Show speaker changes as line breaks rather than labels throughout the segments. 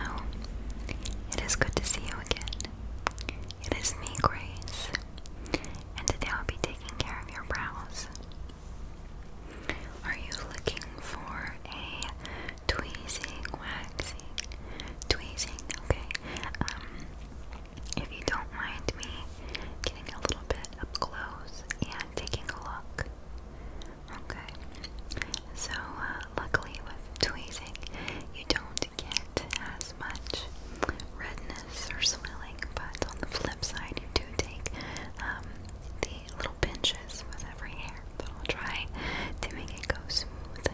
Hello. It is good to see you again. It is me, Grace, and today I'll be taking care of your brows. Are you looking for a tweezing, waxing, tweezing? Okay. Um,
if you don't mind me getting a little bit up close and taking a look, Okay, so uh, luckily with tweezing, you don't get as much redness or swelling, but on the flip side, you do take um, the little pinches with every hair. But I'll try to make it go
smooth,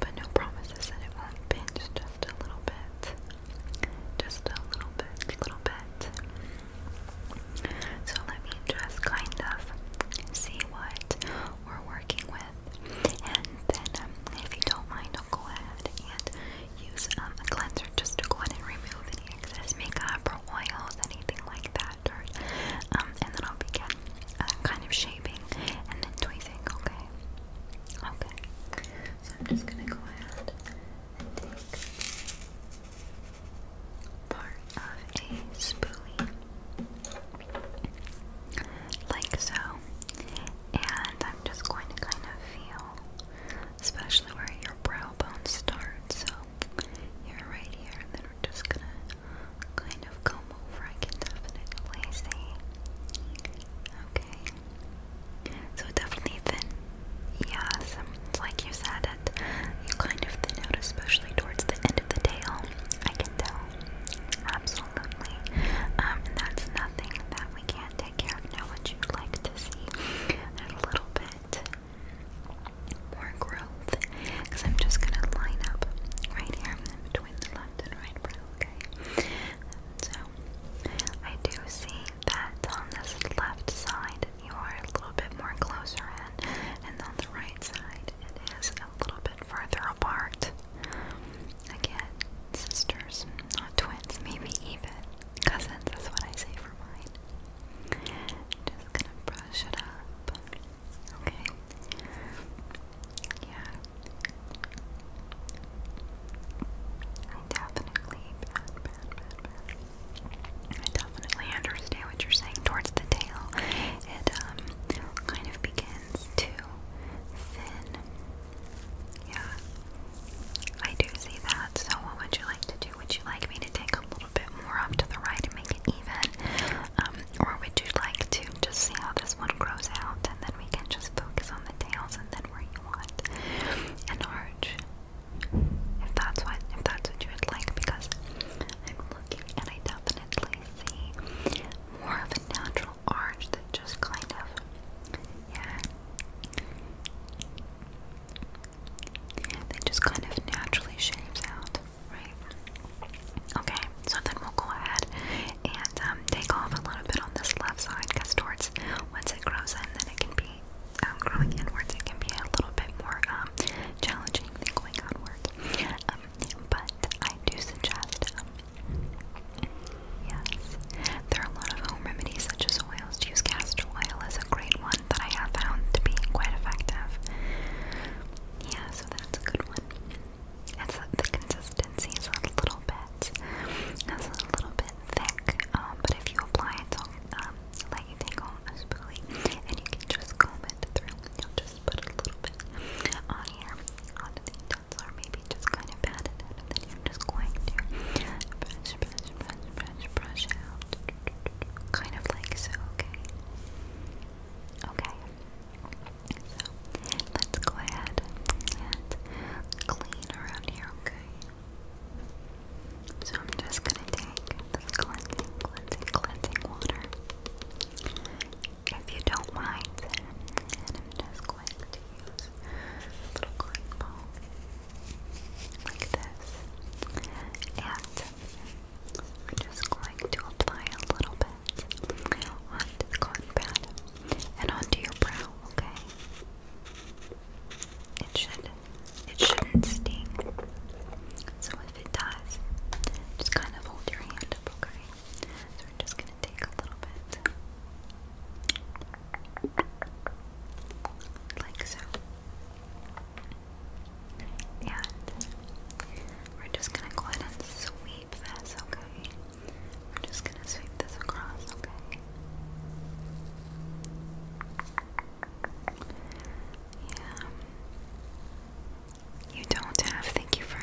but no promises that it won't pinch. Just a little bit, just a little bit, a little bit. So let me just kind of see what we're working with, and then um, if you don't mind, I'll go ahead and use um, a cleanser just to go ahead and remove any excess makeup or oils, anything like that, Um, and then I'll begin uh, kind of shaping and then tweezing. Okay. Okay. So I'm just gonna go ahead and take part of a spoolie, like so.
And I'm just going to kind of feel, especially where your brow bone starts. So you're right here, and then we're just gonna kind of comb over. I can definitely see. Okay. So definitely thin. Yeah, um, like you said, you kind of thin especially towards the end of the tail. I can tell. Absolutely. Um, and that's nothing that we can't take care of now. What you like to see a little bit more growth. Because I'm just going to line up right here between the left and right brow, okay? So, I do see that on this left side you are a little bit more closer in, and on the right side, it is a little bit further apart. Again, sisters, not twins, maybe even cousins, that's what I say for mine. Just gonna brush it up. Okay. Yeah. definitely I definitely understand what you're saying. Towards the tail, it um, kind of begins to thin. Yeah, I do see that. So, what would you like to do? Would you like me to take a little bit more off to the right and make it even? Um, or would you like to just see how this one grows out and then we can just focus on the tails and then where you want an arch? If that's what if that's what you would like, because and I definitely see
more of a natural arch that just kind of, yeah, that just kind of naturally shapes out, right? Okay, so then we'll go ahead and um, take off a little bit on this left side because towards, once it grows in, then it can be um, growing inwards, it can be a little bit more um, challenging anything going onward. Um, but I do suggest, um, yes, there are a lot of home remedies such as oils. To use castor oil is a great one that I have found to be quite effective. Yeah, so that's a good one. It's the consistency is a little bit, it's a little bit thick, um, but if you apply it, it'll um, let you take home and you can just comb it through. you just put a little bit on here, on the needles, or maybe just kind of pat it and then you're just going to brush, brush, brush, brush, brush out, kind of like so. Okay. Okay. So let's go ahead and clean around here. Okay. So I'm just gonna take this cleansing, cleansing, cleansing water. If you don't mind, and I'm just going to use a little cotton ball like this. And I'm just going to apply a little bit onto the cotton pad and onto your brow, okay? It should it shouldn't sting. So if it does, just kind of hold your hand up, okay? So we're just gonna take a little bit. Like so. And we're just gonna go ahead and sweep this, okay? We're just gonna sweep this across, okay? Yeah. You don't have. Thank you for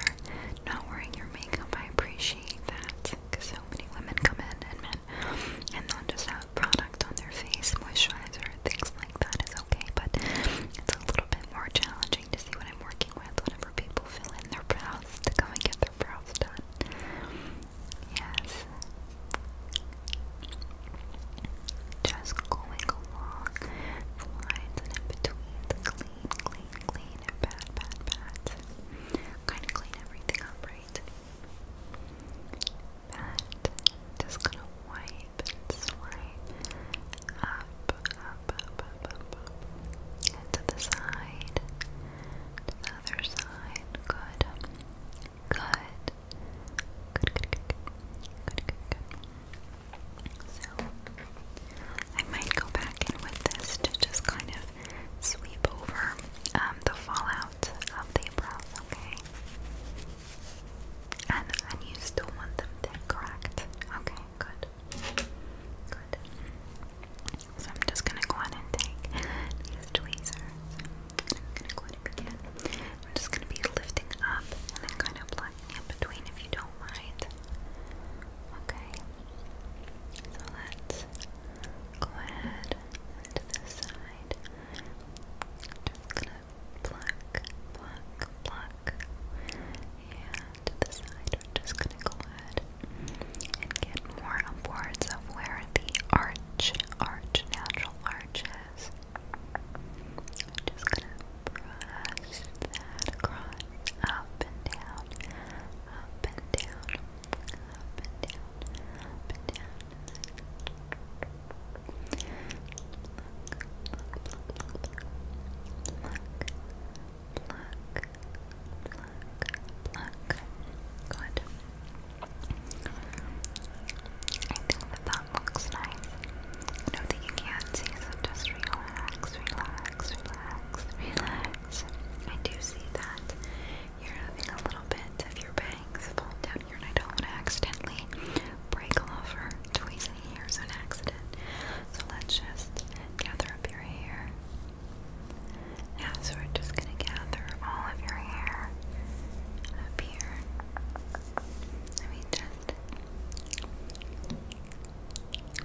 not wearing your makeup. I appreciate that. Because so many women come in and men, and they'll just have product on their face, moisturizer, things like that is okay. But it's a little bit more challenging to see what I'm working with whenever people fill in their brows to come and get their brows done. Yes. Just going along the in between the clean, clean, clean, and bad, bad, bad. Kind of clean everything up, right? just gonna wipe and up, up, up, up, up, up. to the side, other side. Good. Good. Good, good, good, good. Good, good, So, I might go back in with this to just kind of sweep over um, the fallout of the eyebrows, okay? And, and you still want them thick, Okay, good. Good. So I'm just gonna go on and take these tweezers I'm just gonna be lifting up and then kind of plugging in between if you don't mind. Okay. So let's go ahead to this side. Just gonna pluck, pluck, pluck. And to the side, we're just gonna go ahead and get more upwards of where the arch, arch, natural arch is. I'm just gonna brush across, up and down, up and down, up and down, down. And then look, look, look, look, look, look, look, look. Good. I that looks nice. I you can't see, so just relax, relax, relax, relax. I do see that you're having a little bit of your bangs fall down here, and not want to accidentally break off or tweeze any hairs on accident. So let's just gather up your hair. Now, so we're just gonna gather all of your hair up here. Let me just.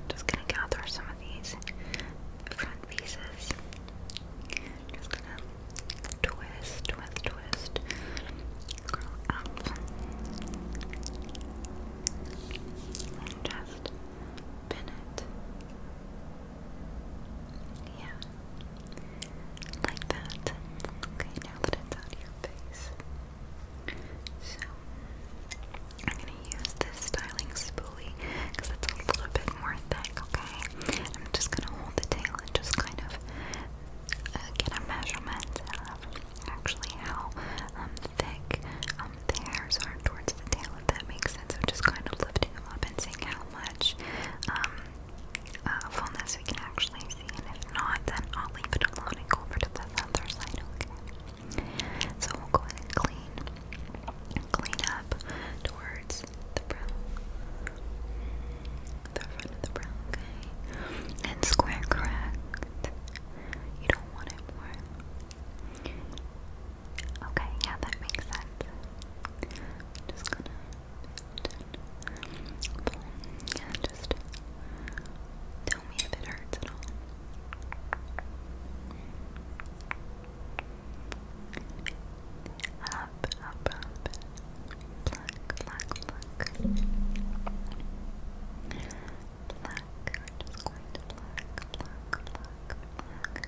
Just gonna gather some of these front pieces. Just gonna twist, twist, twist, curl up, and just pin it. Yeah. Like that. Okay, now that it's on your face. So, I'm gonna use this styling spoolie because it's a little bit more thick, okay? I'm just gonna hold the tail and just kind of uh, get a measurement of actually how um, thick um, the hairs are towards the tail, if that makes sense. So, just kind of lifting them up and seeing how much um, uh, phone we can actually see, and if not, then I'll leave it alone and go over to the other
side, okay? So we'll go ahead and clean, clean up towards the brow, the front of the brow, okay? And square crack. You don't want it more. Okay, yeah, that makes sense. just gonna yeah, just tell me if it hurts at all. Up, up, up. Pluck, pluck, pluck. Pluck. just going to pluck, pluck, pluck, pluck.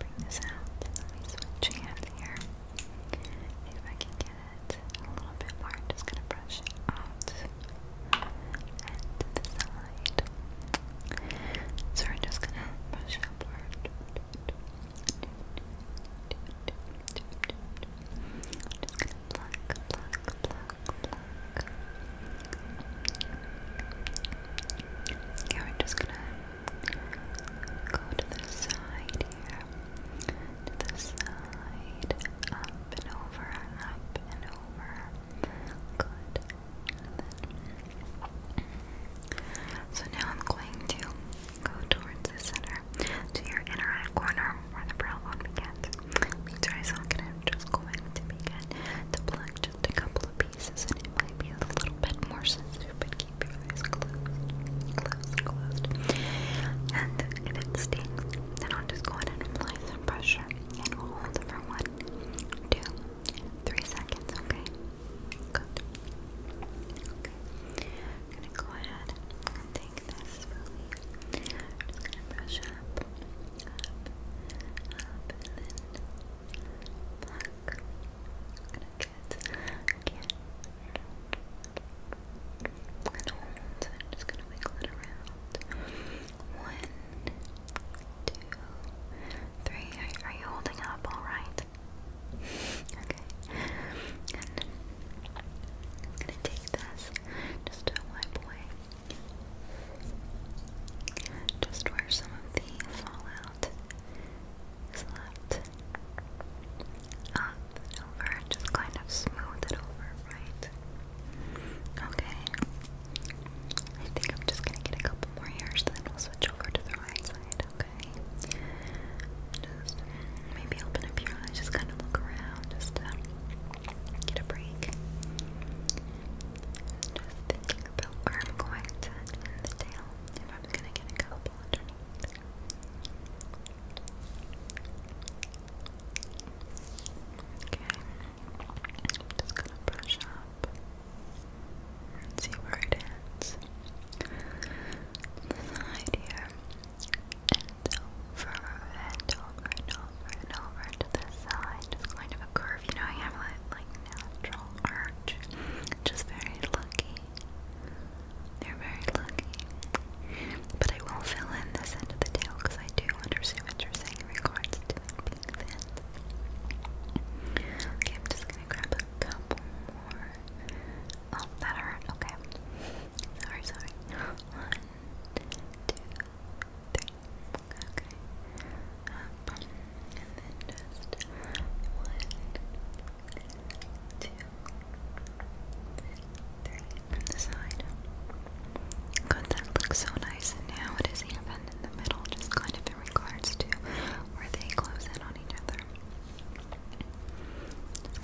Bring Let me switch hands here. See if I can get a little bit more. I'm just gonna brush it out to the side. So we're just gonna brush upward. Yeah, we're just gonna go to the side here the side, up and over, up and over. Good. so now I'm going to go towards the center, to your inner right corner where the brow bone begins. Make sure I socket I'm just going to begin to pluck just a couple of pieces, and it might a little bit more sensitive, keep your eyes And if it stings, then I'll just go ahead and apply some pressure, and we'll hold for one, two, three seconds. Okay, good. Okay, gonna go ahead and take this I'm gonna brush up, up, up, and then pluck. gonna Okay. One, two, three. Are, you holding up all right? Okay. And gonna take this just to wipe away. Just where some of the fallout is left over, just kind of smooth it over, right? Okay. I think I'm just gonna get a couple more hairs, then we'll switch over to the right side, okay? Just maybe open up your eyes, just kind of look around, just get a break. Just thinking about where I'm going to end the tail, if I'm gonna get a couple underneath. Okay, just gonna brush up see where it ends. side here, and over and over and over and over to the side. Just kind of a curve, you know, you have like, like natural arch. Just very lucky they're very lucky. But I will fill in this end of the tale because I do understand what you're saying regards to being thin. Okay, I'm just gonna grab a couple more. Oh, that hurt. Okay. Sorry, sorry. One, two, three. Okay. Um, and then just one, two, three side. God, that looks so nice. now it is even in the middle, just kind of in regards to where they close in on each other.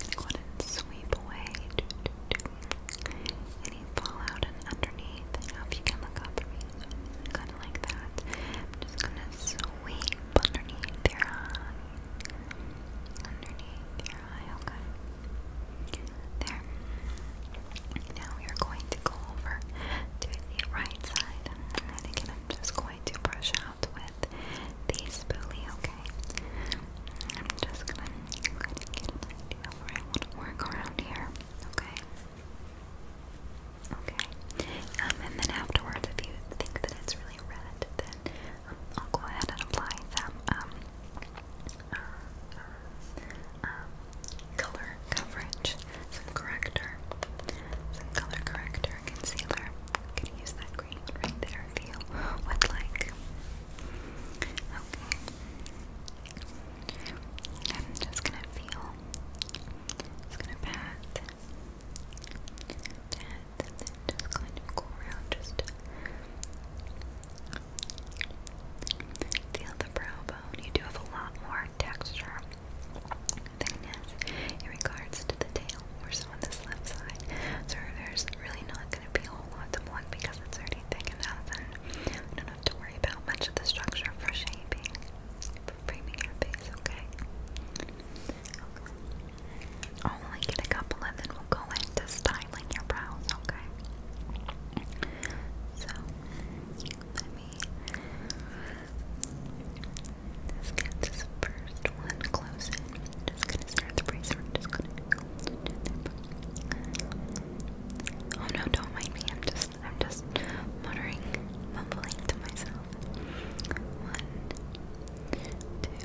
Just gonna sweep away any fallout underneath. if you can look up for me, kind of like that. just gonna sweep underneath your eye underneath your eye, okay? There. Now we are going to go over to the right side. And again, I'm just going to brush out with the spoolie, okay? I'm just gonna, get an idea where I want to work around here, okay? Okay. Um, and then afterwards, if you think that it's really red, then um, I'll go ahead and apply some um, uh, um, color coverage, some corrector, some color corrector concealer. I'm gonna use that green one right there if you like. Okay. I'm just gonna feel, just gonna pat and then just kind of go around just feel the brow bone. You do have a lot more texture thickness in regards to the tail, more so on this left side. So there's really not going to be a whole lot to pluck because it's already thick enough, and don't have to worry about much of the structure for shaping, for framing your face, okay? Only get a couple and then we'll go into styling your brows, okay? So, let me just get this first one close Just gonna start the bracer. I'm just gonna Oh no, don't mind me. I'm just, I'm just muttering, mumbling to myself. One, two, three,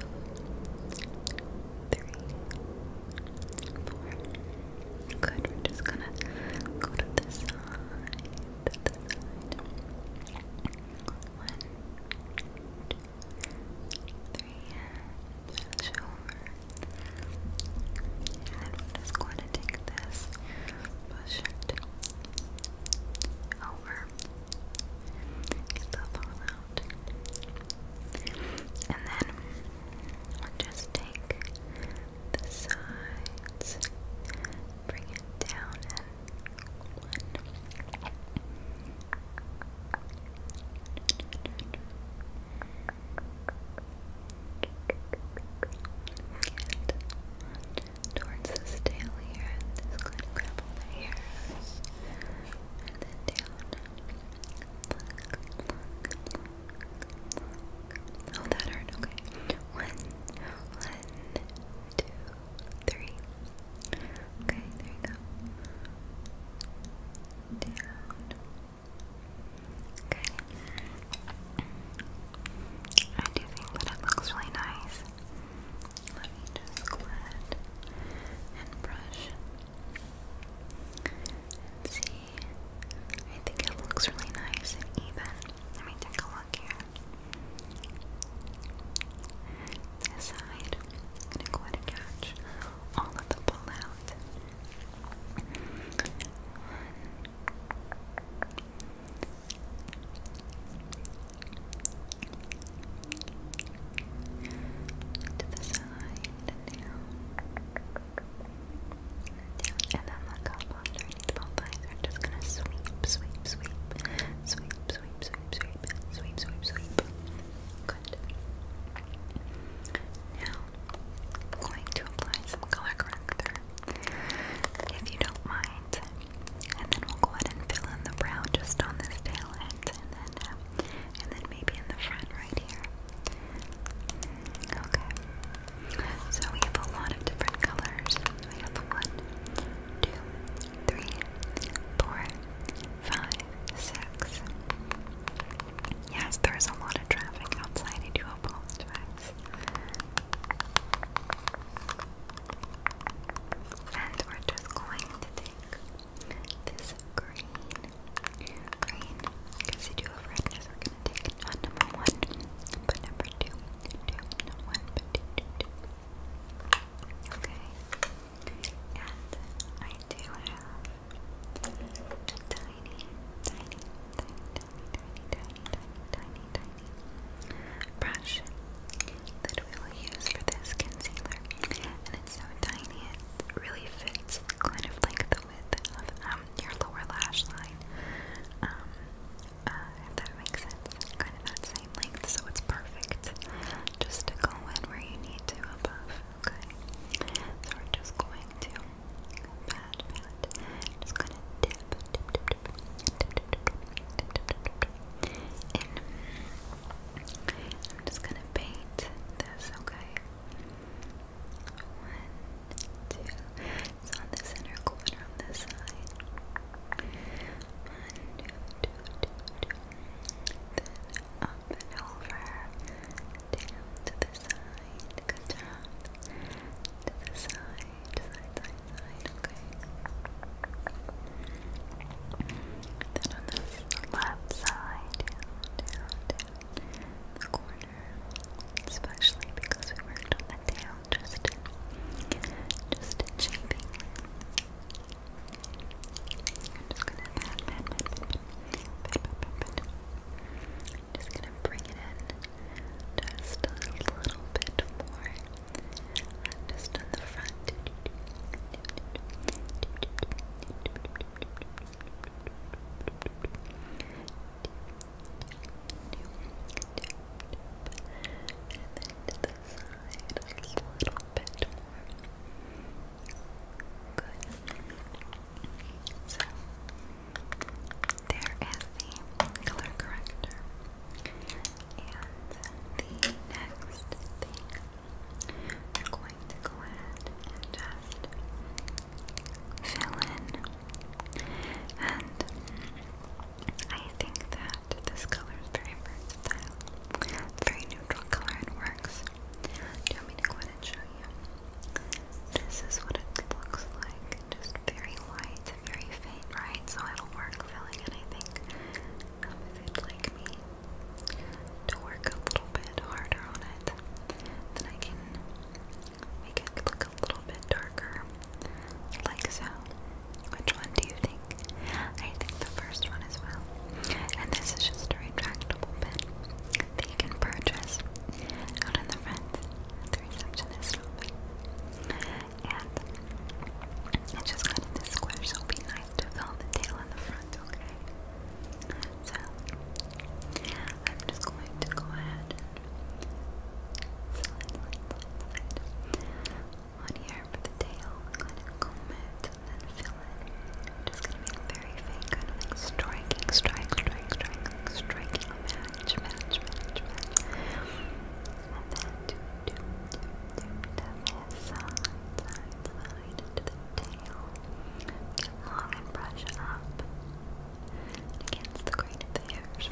four. Good, we're just gonna go to the side. the side. One, two, three, stretch over. And then we're just going to take this, push over, Get that And then we'll just take the sides, bring it down and towards this tail here, and just going to grab the hairs, and then down. Oh, that hurt. Okay. One, one, two, three. Okay, there you go. Down. Okay. I do think that it looks really nice. Let me just go ahead and brush see. I think it looks really nice and even. Let me take a look here. This side, I'm gonna go ahead and catch all of the pullout. One, to the side and And then look up under each bump just gonna sweep, sweep. Sweep, sweep, sweep, sweep. Sweep, sweep, sweep. Good. Now, I'm going to apply some color corrector. If you don't mind, and then we'll go ahead and fill in the brow just on this tail end, and then, uh, and then maybe in the front right here. Okay. So we have a lot of different colors. We have one, two, three, four, five, six. Yes, there is a lot of traffic outside. I do apologize. And we're just going to take this green. Green, because you do have redness, we're going to take it number one, but number two, two, one, but two, two, two. Okay. And I do have a tiny, tiny, tiny, tiny, tiny, tiny, tiny, tiny, brush that we'll use for this concealer. And it's so tiny, it really fits kind of like the width of um, your lower lash line. Um, if that makes sense, kind of that same length, so it's perfect just to go in where you need to above, okay? So we're just going to pat, pat, just gonna dip, dip, dip, dip, dip, dip, dip, dip, dip, dip, dip, and I'm just gonna paint this, okay? One, two. It's on the center corner on this side. One, two, two, two, two. Then up and over. Down to the side. To the side, side, side, side, okay? Then on this left side, corner, especially because we worked on the tail just just to pat, pat, I'm just gonna bring it in just a little bit more. I'm just on the front. And then the side, a little bit Good. So, there is the color corrector. And the next thing we're going to go ahead and just fill in. And I think that this color is very versatile. very neutral color and works. Do me go ahead and show you? This is what it looks like. Just very light, very faint, right? So it'll work filling in, I think if you'd like me to work a little bit harder on it. Then I can make it look a little bit darker. Like so. Which one do you think? I think the first one as well. And this is just a retractable pen that you can purchase out in the front at the receptionist office and I just got into square, so will be nice to fill the tail in the front, okay? So, I'm just going to go ahead and slide, slide, on here for the tail, kind then fill it. I'm just gonna make a very faint, kind of like striking, strike, strike, striking match, match, match, match. And then do, do, do, do, down the side, side, the tail. long and brush up against the grain of the hairs,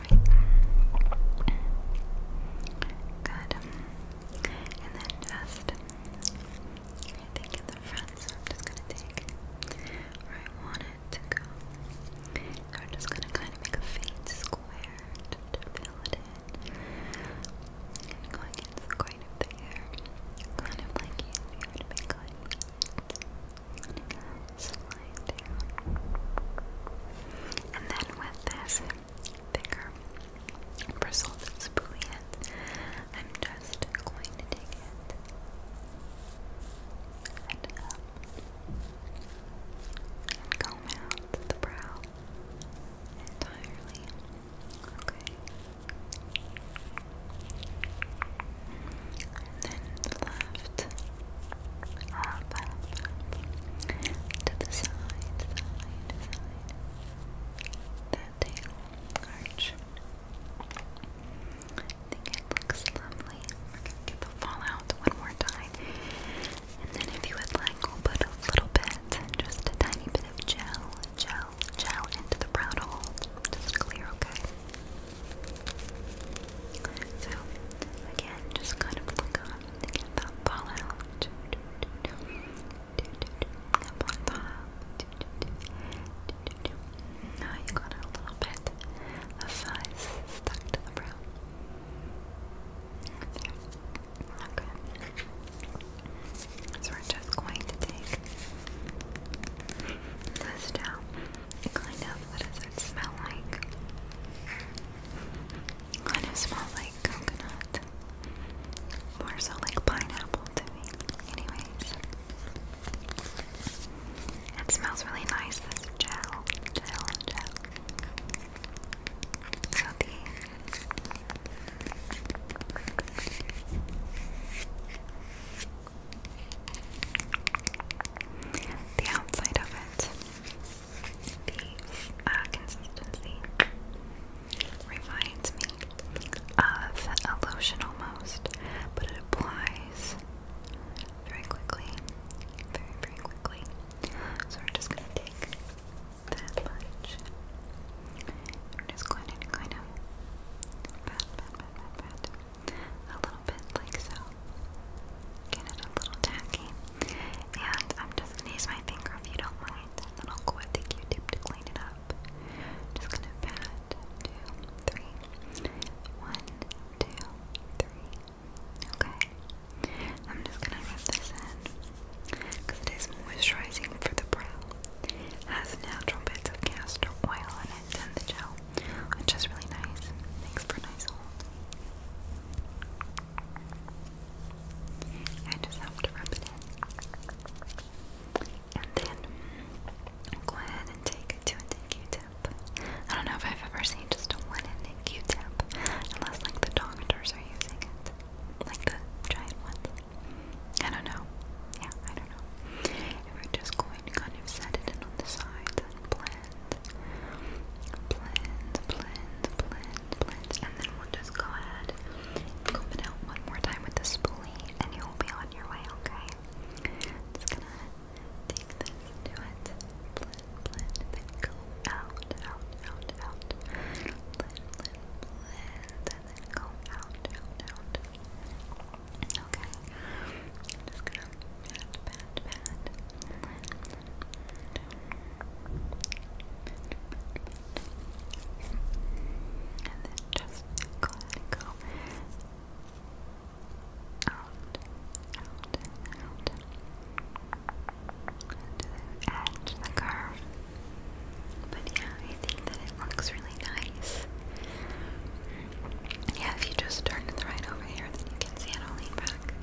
Good. And then just, I think in the front, so I'm just gonna take where I want it to go. I'm just gonna kind of make a faint square to fill it in. And going into the coin of kind of like you and then with this thicker bristled spoolie I'm just going to take it and comb out the brow entirely. Okay. And then left, up, up, up, to the side, side, side. That tail arch. I think it looks lovely. We're gonna get the fallout one more time. And then if you would like, put a little bit, just a tiny bit of gel, gel, gel into the brown hole. Just clear, okay? So, again, just kind of look on to get that fallout. Up Now you got a little bit of fuzz stuck to the brow. Okay. So we're just going to take this down kind of what does it smell like? kind of smells like coconut. More so like pineapple to me. Anyways. It smells really nice, this gel, gel, gel. So these the outside of it, the uh, consistency reminds me of a lotion almost, but it applies very quickly, very, very quickly. So we're just going to take that lunch. We're just going to kind of pat, pat, pat, pat, a little bit like so. Get it a little tacky. And I'm just going to use my finger if you don't mind. then I'll go with the Q-tip to clean it up. Just going to pat. Two, Okay, I'm just gonna rub this in it is moisturizing for the brow. has natural bits of castor oil in it and the gel, which is really nice. Makes for nice hold. I just have to rub it in. And then go ahead and take two and a Q-tip. I don't know if I've ever seen just a one Q-tip, unless like the doctors are using it, like the giant ones. I don't know. Yeah, I don't know. we're just going to kind of set it on the sides and blend, blend, blend, blend, blend, and then we'll just go ahead and comb it out one more time with the spoolie, and you'll be on your way. Okay. Just gonna take this, do it, blend, blend, then go out, out, out, out. Blend, blend, blend, and go out, out, out. Okay. just gonna pat, pat, pat. And then just go go. Out, out, out to the curve. But yeah, I think that it looks really nice. Yeah, if you just turn it right over here, then you can see it all lean back.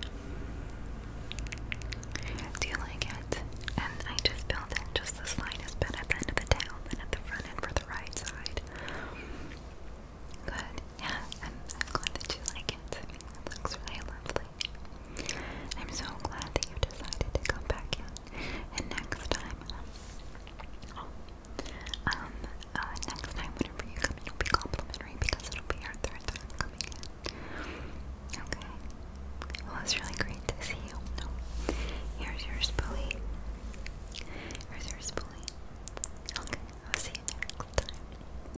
Do you like it? And I just built in just the slightest bit at the end of the tail and at the front end for the right side. Good. Yeah, I'm glad that you like it. It looks really lovely. I'm so glad that you decided to come back in. And next time, um, uh, next time whenever you come, it'll be complimentary because it'll be our third time coming in. Okay. Well, it's really great to see you. Here's your spoolie. Here's your spoolie. Okay, I'll see you next time.